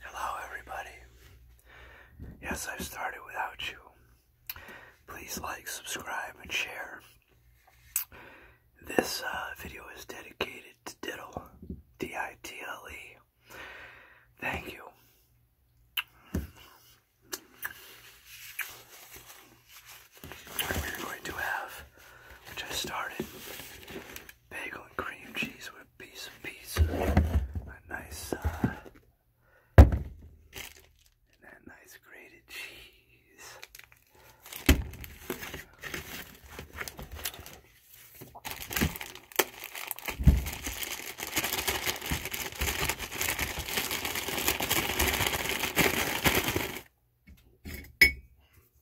Hello, everybody. Yes, I've started without you. Please like, subscribe, and share. This uh, video is dedicated to Diddle, D I T L E. Thank you. We're going to have, which started, bagel and cream cheese with a piece of pizza. A nice uh, and that nice grated cheese.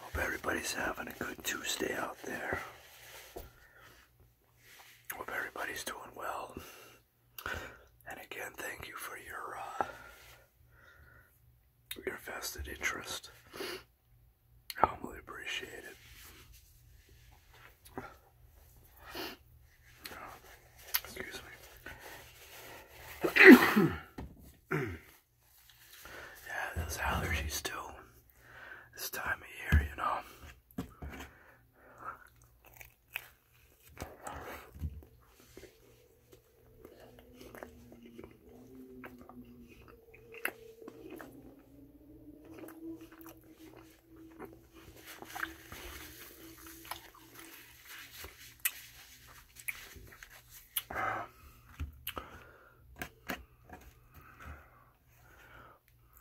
Hope everybody's having a good Tuesday out there. Hope everybody's doing well. And again, thank you for your uh, your vested interest. I humbly appreciate it. Uh, excuse me. yeah, those allergies too this time of year, you know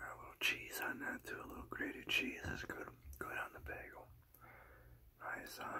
a little cheese on that too, a little grated cheese. That's good. Good on the bagel. Nice, huh?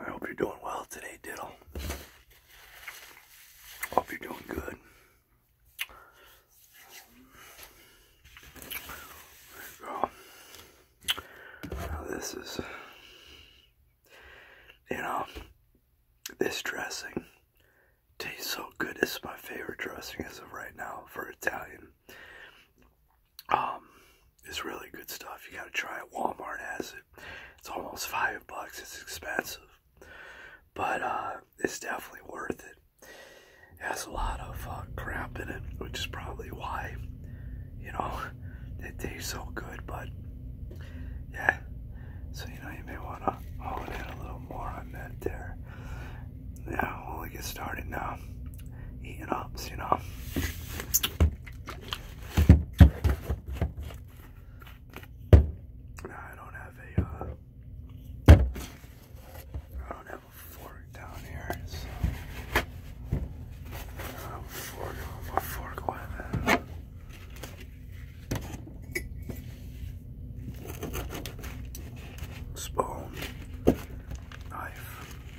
I hope you're doing well today, Diddle. Hope you're doing good. this is, you know, this dressing tastes so good. It's my favorite dressing as of right now for Italian. Um, it's really good stuff. You gotta try it. Walmart has it. It's almost five bucks. It's expensive, but uh, it's definitely worth it. It has a lot of uh, crap in it, which is probably why, you know, it tastes so good. But yeah, so you know, you may wanna hone in a little more on that there. Yeah, we'll get started now eating up, you know. I don't have a uh, don't have a fork down here, so I do fork, I have a Spoon, knife,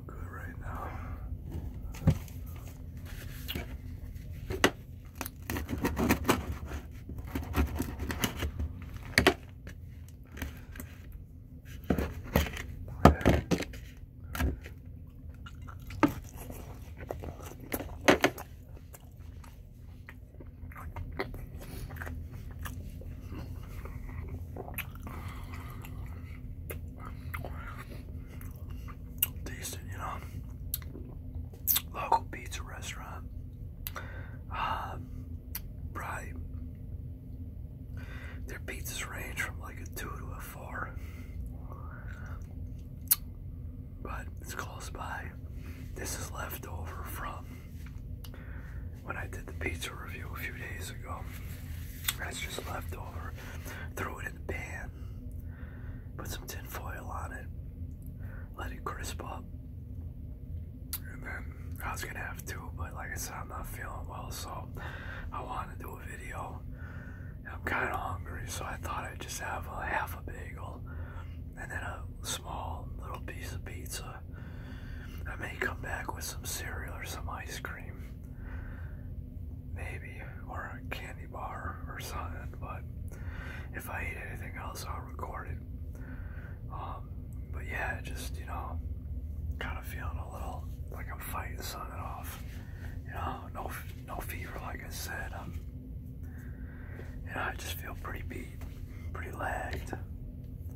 all good right now. Decent, Local pizza restaurant. Um, Their pizzas range from like a two to a four, but it's close by. This is left over from when I did the pizza review a few days ago. That's just leftover. Throw it in the pan, put some tinfoil on it, let it crisp up. And then I was gonna have two. but like I said, I'm not feeling well, so I want to do a video. I'm kind of hungry, so I thought I'd just have a half a bagel and then a small little piece of pizza I may come back with some cereal or some ice cream. Maybe, or a candy bar or something, but if I eat anything else, I'll record it. Um, but yeah, just, you know, kind of feeling a little like I'm fighting something off. You know, no, no fever, like I said. Um, you know, I just feel pretty beat, pretty lagged.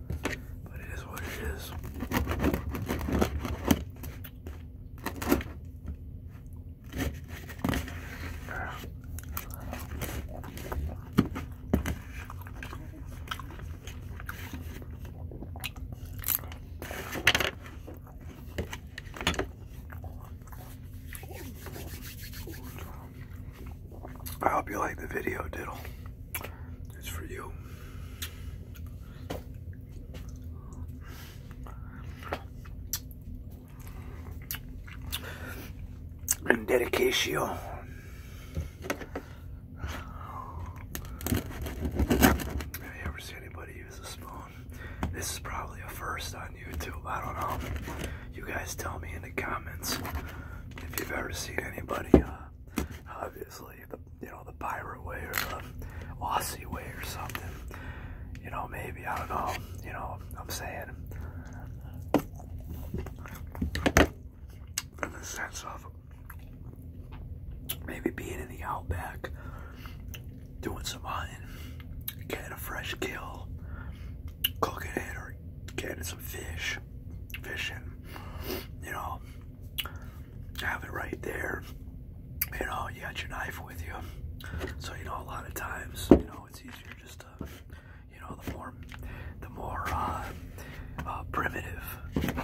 But it is what it is. I hope you like the video, Diddle. It's for you. And dedication. Have you ever seen anybody use a spoon? This is probably a first on YouTube. I don't know. You guys tell me in the comments if you've ever seen anybody, uh, obviously the you know the pirate way or the Aussie way or something. You know, maybe I don't know. You know, I'm saying in the sense of maybe being in the outback, doing some hunting, getting a fresh kill, cooking it or getting some fish, fishing. You know, have it right there. You know, you got your knife with you. So, you know, a lot of times, you know, it's easier just to, you know, the more, the more uh, uh, primitive,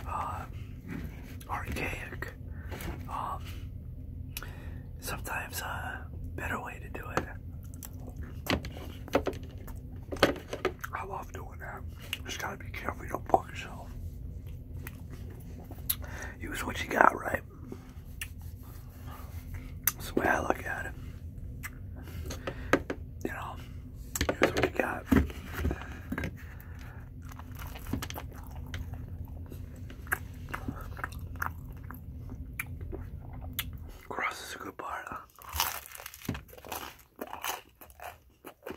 uh, archaic, um, sometimes a better way to do it. I love doing that. Just gotta be careful you don't fuck yourself. Use what you got, right? That's the way I look at it. You know, use what you got. Cross is a good bar.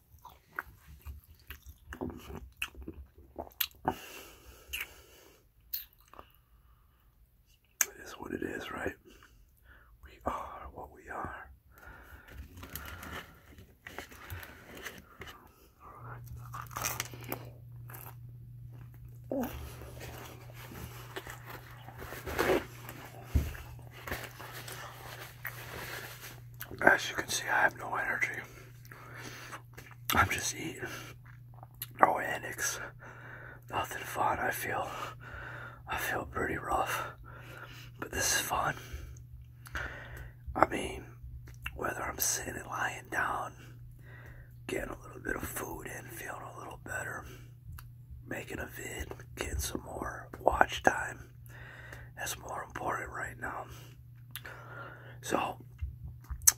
It is what it is, right? We are what we are. As you can see, I have no energy. I'm just eating. No antics. Nothing fun. I feel I feel pretty rough. But this is fun. I mean, whether I'm sitting lying down, getting a little bit of food in, feeling a little better, making a vid, getting some more watch time that's more important right now. So,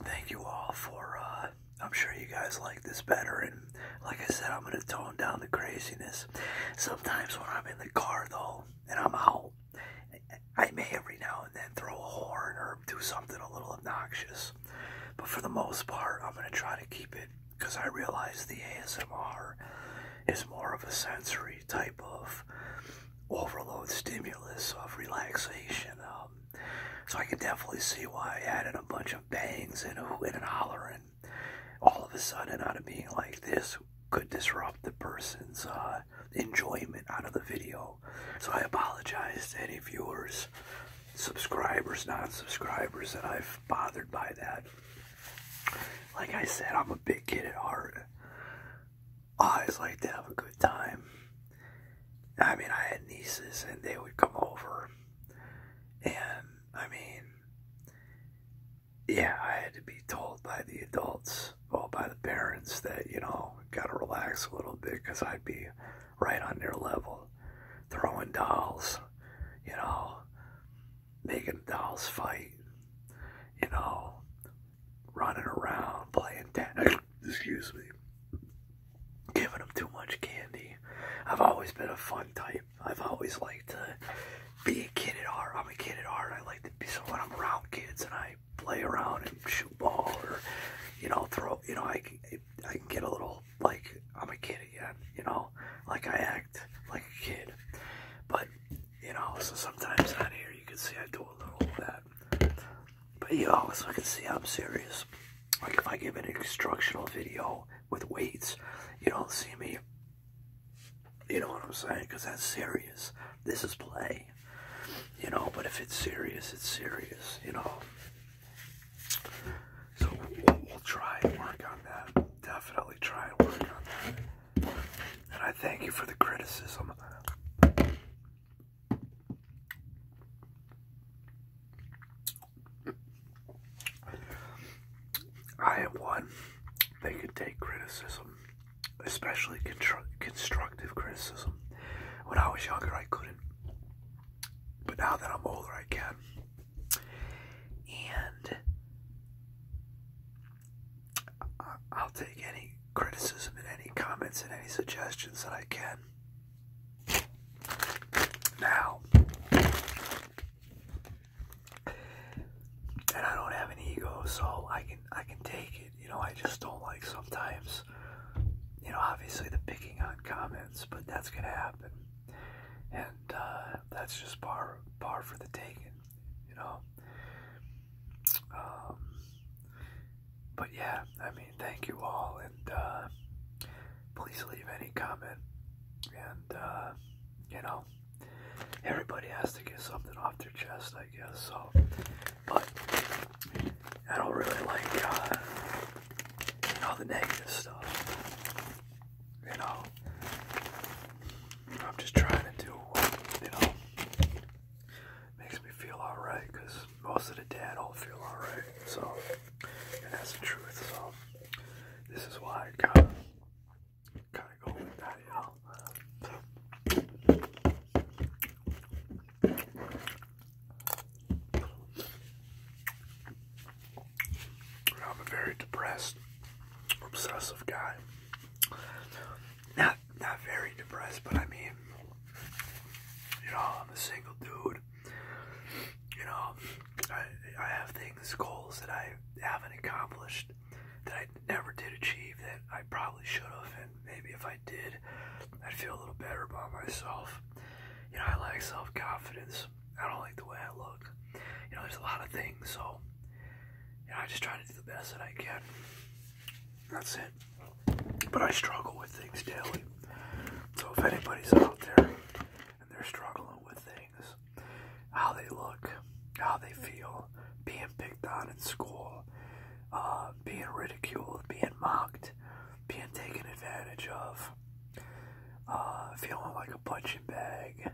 thank you all for. Uh, I'm sure you guys like this better. And like I said, I'm going to tone down the craziness. Sometimes when I'm in the car, though, and I'm out, I may every now and then throw a horn or do something a little obnoxious. But for the most part, I'm going to try to keep it because I realize the ASMR is more of a sensory type of overload stimulus of relaxation. Um, so I can definitely see why I added a bunch of bangs and a and hollering. All of a sudden, out of being like this, could disrupt the person's uh, enjoyment out of the video. So I apologize to any viewers, subscribers, non-subscribers that I've bothered by that. Like I said, I'm a big kid at heart always like to have a good time. I mean, I had nieces and they would come over, and I mean, yeah, I had to be told by the adults, well, by the parents, that you know, gotta relax a little bit because I'd be right on their level, throwing dolls, you know, making dolls fight, you know, running around playing tennis. Excuse me. Giving them too much candy. I've always been a fun type. I've always liked to be a kid at heart. I'm a kid at heart. I like to be so when I'm around kids and I play around and shoot ball or you know throw. You know I can, I can get a little like I'm a kid again. You know like I act like a kid, but you know, so sometimes on here you can see I do a little of that. But you also can see I'm serious. Like if I give an instructional video with weights, you don't see me. You know what I'm saying? Because that's serious. This is play. You know, but if it's serious, it's serious, you know. So we'll, we'll try and work on that. Definitely try and work on that. And I thank you for the criticism. I am one that can take criticism, especially constructive criticism. When I was younger, I couldn't. But now that I'm older, I can. And I'll take any criticism and any comments and any suggestions that I can. Now, and I don't have an ego, so I can I can take it. You know, I just don't like sometimes. You know, obviously the picking on comments, but that's gonna happen, and uh, that's just par par for the taking you know. Um, but yeah, I mean, thank you all, and uh, please leave any comment. And uh, you know, everybody has to get something off their chest, I guess. So, but I don't really like uh, all the negative stuff. You know, I'm just trying to do, you know. Makes me feel alright because most of the dad all feel alright. So, and that's the truth. So, this is why I kind of kind of go with that, you know. I'm a very depressed, obsessive guy. Now not very depressed, but I mean, you know, I'm a single dude. You know, I I have things, goals that I haven't accomplished, that I never did achieve, that I probably should have, and maybe if I did, I'd feel a little better about myself. You know, I lack self confidence. I don't like the way I look. You know, there's a lot of things, so you know, I just try to do the best that I can. That's it. But I struggle with things daily. So if anybody's out there and they're struggling with things, how they look, how they feel, being picked on in school, uh, being ridiculed, being mocked, being taken advantage of, uh, feeling like a punching bag,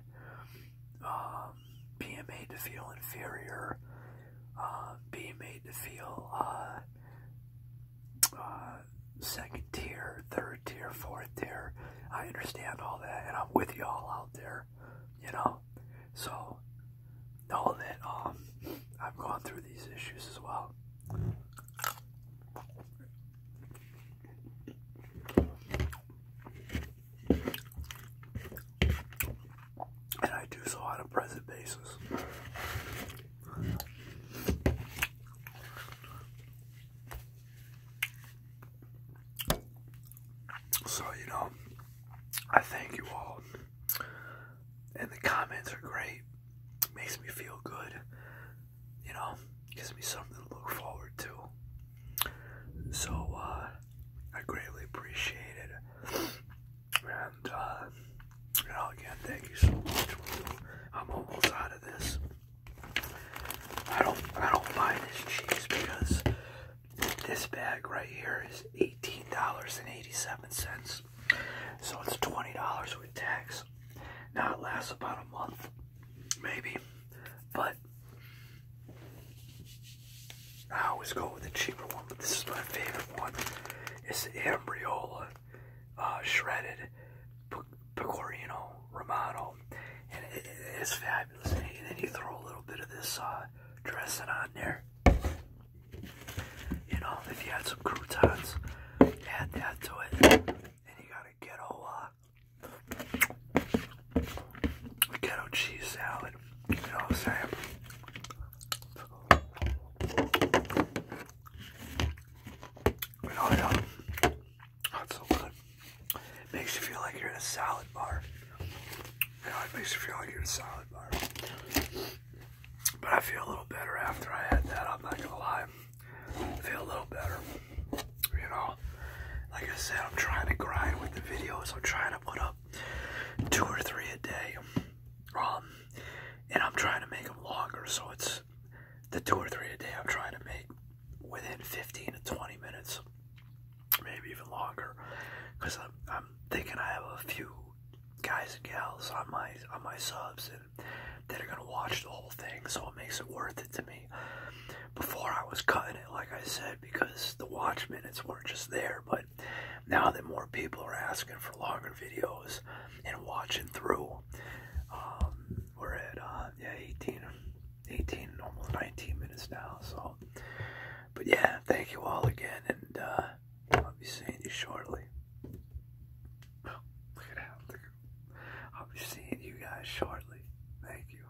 uh, um, being made to feel inferior, uh, being made to feel uh, uh, second tier, third tier, fourth tier. I understand all that, and I'm with you all out there, you know. So know that um, I've gone through these issues as well. And I do so on a present basis. So, you know, I thank you all. And the comments are great. Makes me feel good. You know, gives me something to look forward to. So, uh, I greatly appreciate it. And, uh, you know, again, thank you so much. I'm almost out of this. I don't, I don't buy this cheese because this bag right here is eighteen dollars and eighty-seven cents, so it's twenty dollars with tax. Now it lasts about a month, maybe, but I always go with the cheaper one, but this is my favorite one. It's the Ambriola uh, Shredded Pecorino Romano, and it is fabulous. And then you throw a little bit of this uh, dressing on there. You know, if you had some croutons, add that to it, and you got a ghetto, uh, ghetto cheese salad. You know Sam. Oh yeah, that's so good. Makes you feel like you're in a salad bar. You know, it makes you feel like you're in a salad bar. But I feel a little better after I had that. I'm not gonna lie. feel a little better. You know, like I said, I'm trying to grind with the videos. I'm trying to put up two or three a day. Um, and I'm trying to make them longer, so it's the two or three a day I'm trying to make within 15 to 20 minutes, maybe even longer, because I'm, I'm thinking I have a few guys and gals on my on my subs and they are gonna watch the whole thing, so it makes it worth it to me. Before I was cutting it, like I said, because the watch minutes weren't just there, but now that more people are asking for longer videos and watching through, um, we're at uh, yeah 18, 18, almost 19 minutes now. So, but yeah, thank you all again, and uh, I'll be seeing you shortly. Oh, I'll be seeing you guys shortly. Thank you.